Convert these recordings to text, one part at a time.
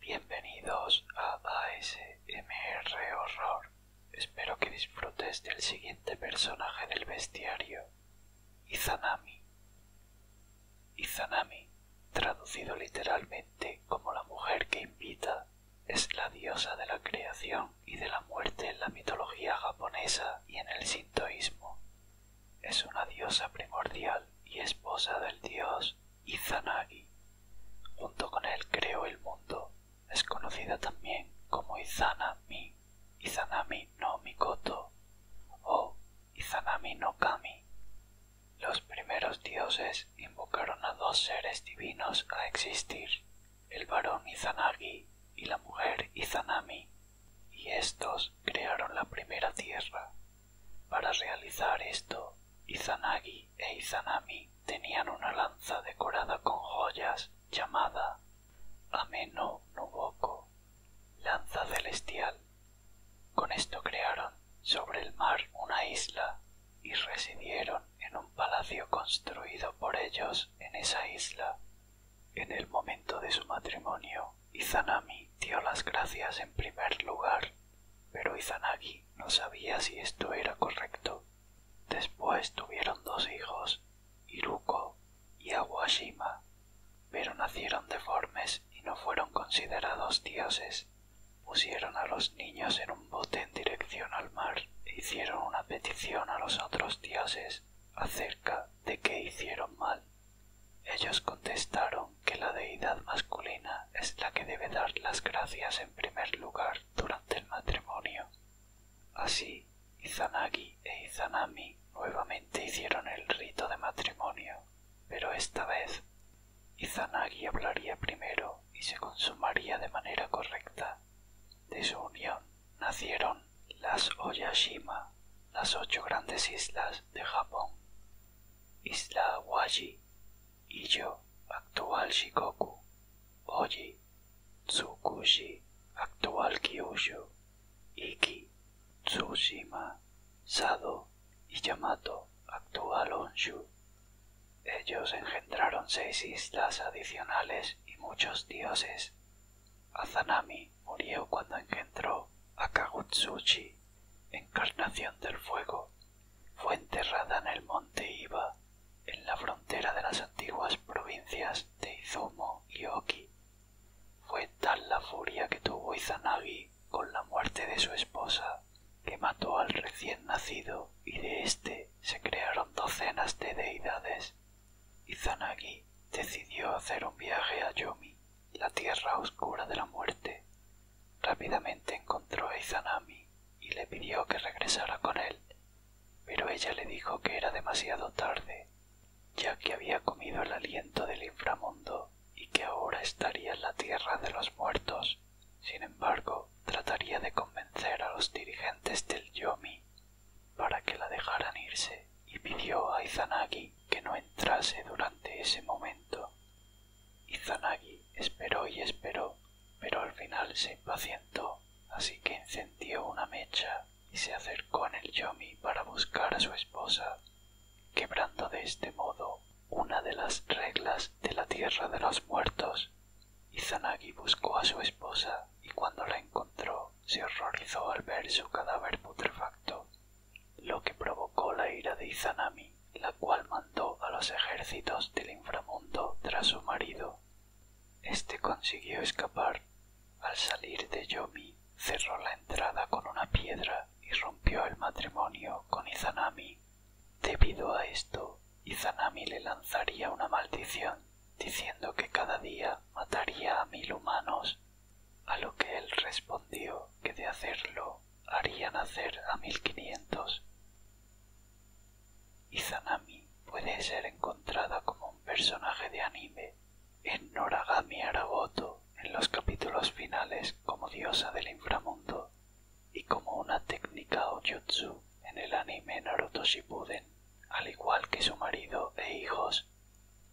Bienvenidos a ASMR Horror. Espero que disfrutes del siguiente personaje del bestiario, Izanami. Izanami, traducido literalmente como la mujer que invita, es la diosa de la creación y de la muerte en la mitología japonesa y en el sintoísmo. Es una diosa primordial y esposa del dios Izanagi. Junto con él creó el mundo. Es conocida también como Izanami, Izanami no Mikoto o Izanami no Kami. Los primeros dioses invocaron a dos seres divinos a existir, el varón Izanagi y la mujer Izanami, y estos crearon la primera tierra. Para realizar esto, Izanagi e Izanami tenían una lanza decorada con joyas llamada Ameno Nuboko, lanza celestial. Con esto crearon sobre el mar una isla y residieron en un palacio construido por ellos en esa isla. En el momento de su matrimonio, Izanami dio las gracias en primer lugar, pero Izanagi no sabía si esto era correcto. Después tuvieron dos hijos, Iruko y Awashima, pero nacieron deformes y no fueron considerados dioses. Pusieron a los niños en un bote dirección al mar e hicieron una petición a los otros dioses acerca de qué hicieron mal. Ellos contestaron que la deidad masculina es la que debe dar las gracias en primer lugar durante el matrimonio. Así, Izanagi e Izanami nuevamente hicieron el rito de matrimonio, pero esta vez Izanagi hablaría primero y se consumaría de manera correcta, de su unión nacieron las Oyashima, las ocho grandes islas de Japón. Isla Waji, Iyo, actual Shikoku, Oji, Tsukushi, actual Kyushu, Iki, Tsushima, Sado y Yamato, actual Honshu. Ellos engendraron seis islas adicionales y muchos dioses. Azanami murió cuando engendró a Kagutsuchi, encarnación del fuego. Fue enterrada en el monte Iba, en la frontera de las antiguas provincias de Izumo y Oki. Fue tal la furia que tuvo Izanagi con la muerte de su esposa que mató al recién nacido y de éste se crearon docenas de deidades. Izanagi decidió hacer un viaje a Yomi, la tierra oscura de la muerte. Rápidamente encontró a Izanami y le pidió que regresara con él, pero ella le dijo que era demasiado tarde, ya que había comido el aliento del inframundo y que ahora estaría en la tierra de los muertos. Sin embargo, trataría de convencer a los dirigentes del Yomi para que la dejaran irse y pidió a Izanagi que no entrase durante ese momento. Izanagi esperó y esperó, pero al final se impacientó, así que encendió una mecha y se acercó en el Yomi para buscar a su esposa, quebrando de este modo una de las reglas de la tierra de los muertos. Izanagi buscó a su esposa y cuando la encontró se horrorizó al ver su cadáver putrefacto, lo que provocó la ira de Izanami, la cual mandó a los ejércitos del inframundo tras su marido. Este consiguió escapar. Al salir de Yomi, cerró la entrada con una piedra y rompió el matrimonio con Izanami Debido a esto, Izanami le lanzaría una maldición, diciendo que cada día mataría a mil humanos, a lo que él respondió que de hacerlo haría nacer a mil quinientos. Izanami puede ser encontrada como un personaje de anime en Noragami Aragoto en los capítulos finales como diosa del inframundo y como una técnica ojutsu en el anime Naruto Shippuden, al igual que su marido e hijos,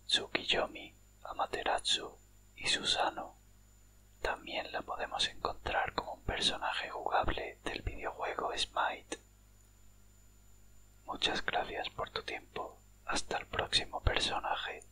Tsukiyomi, Amaterasu y Susano. También la podemos encontrar como un personaje jugable del videojuego Smite. Muchas gracias por tu tiempo. Hasta el próximo personaje.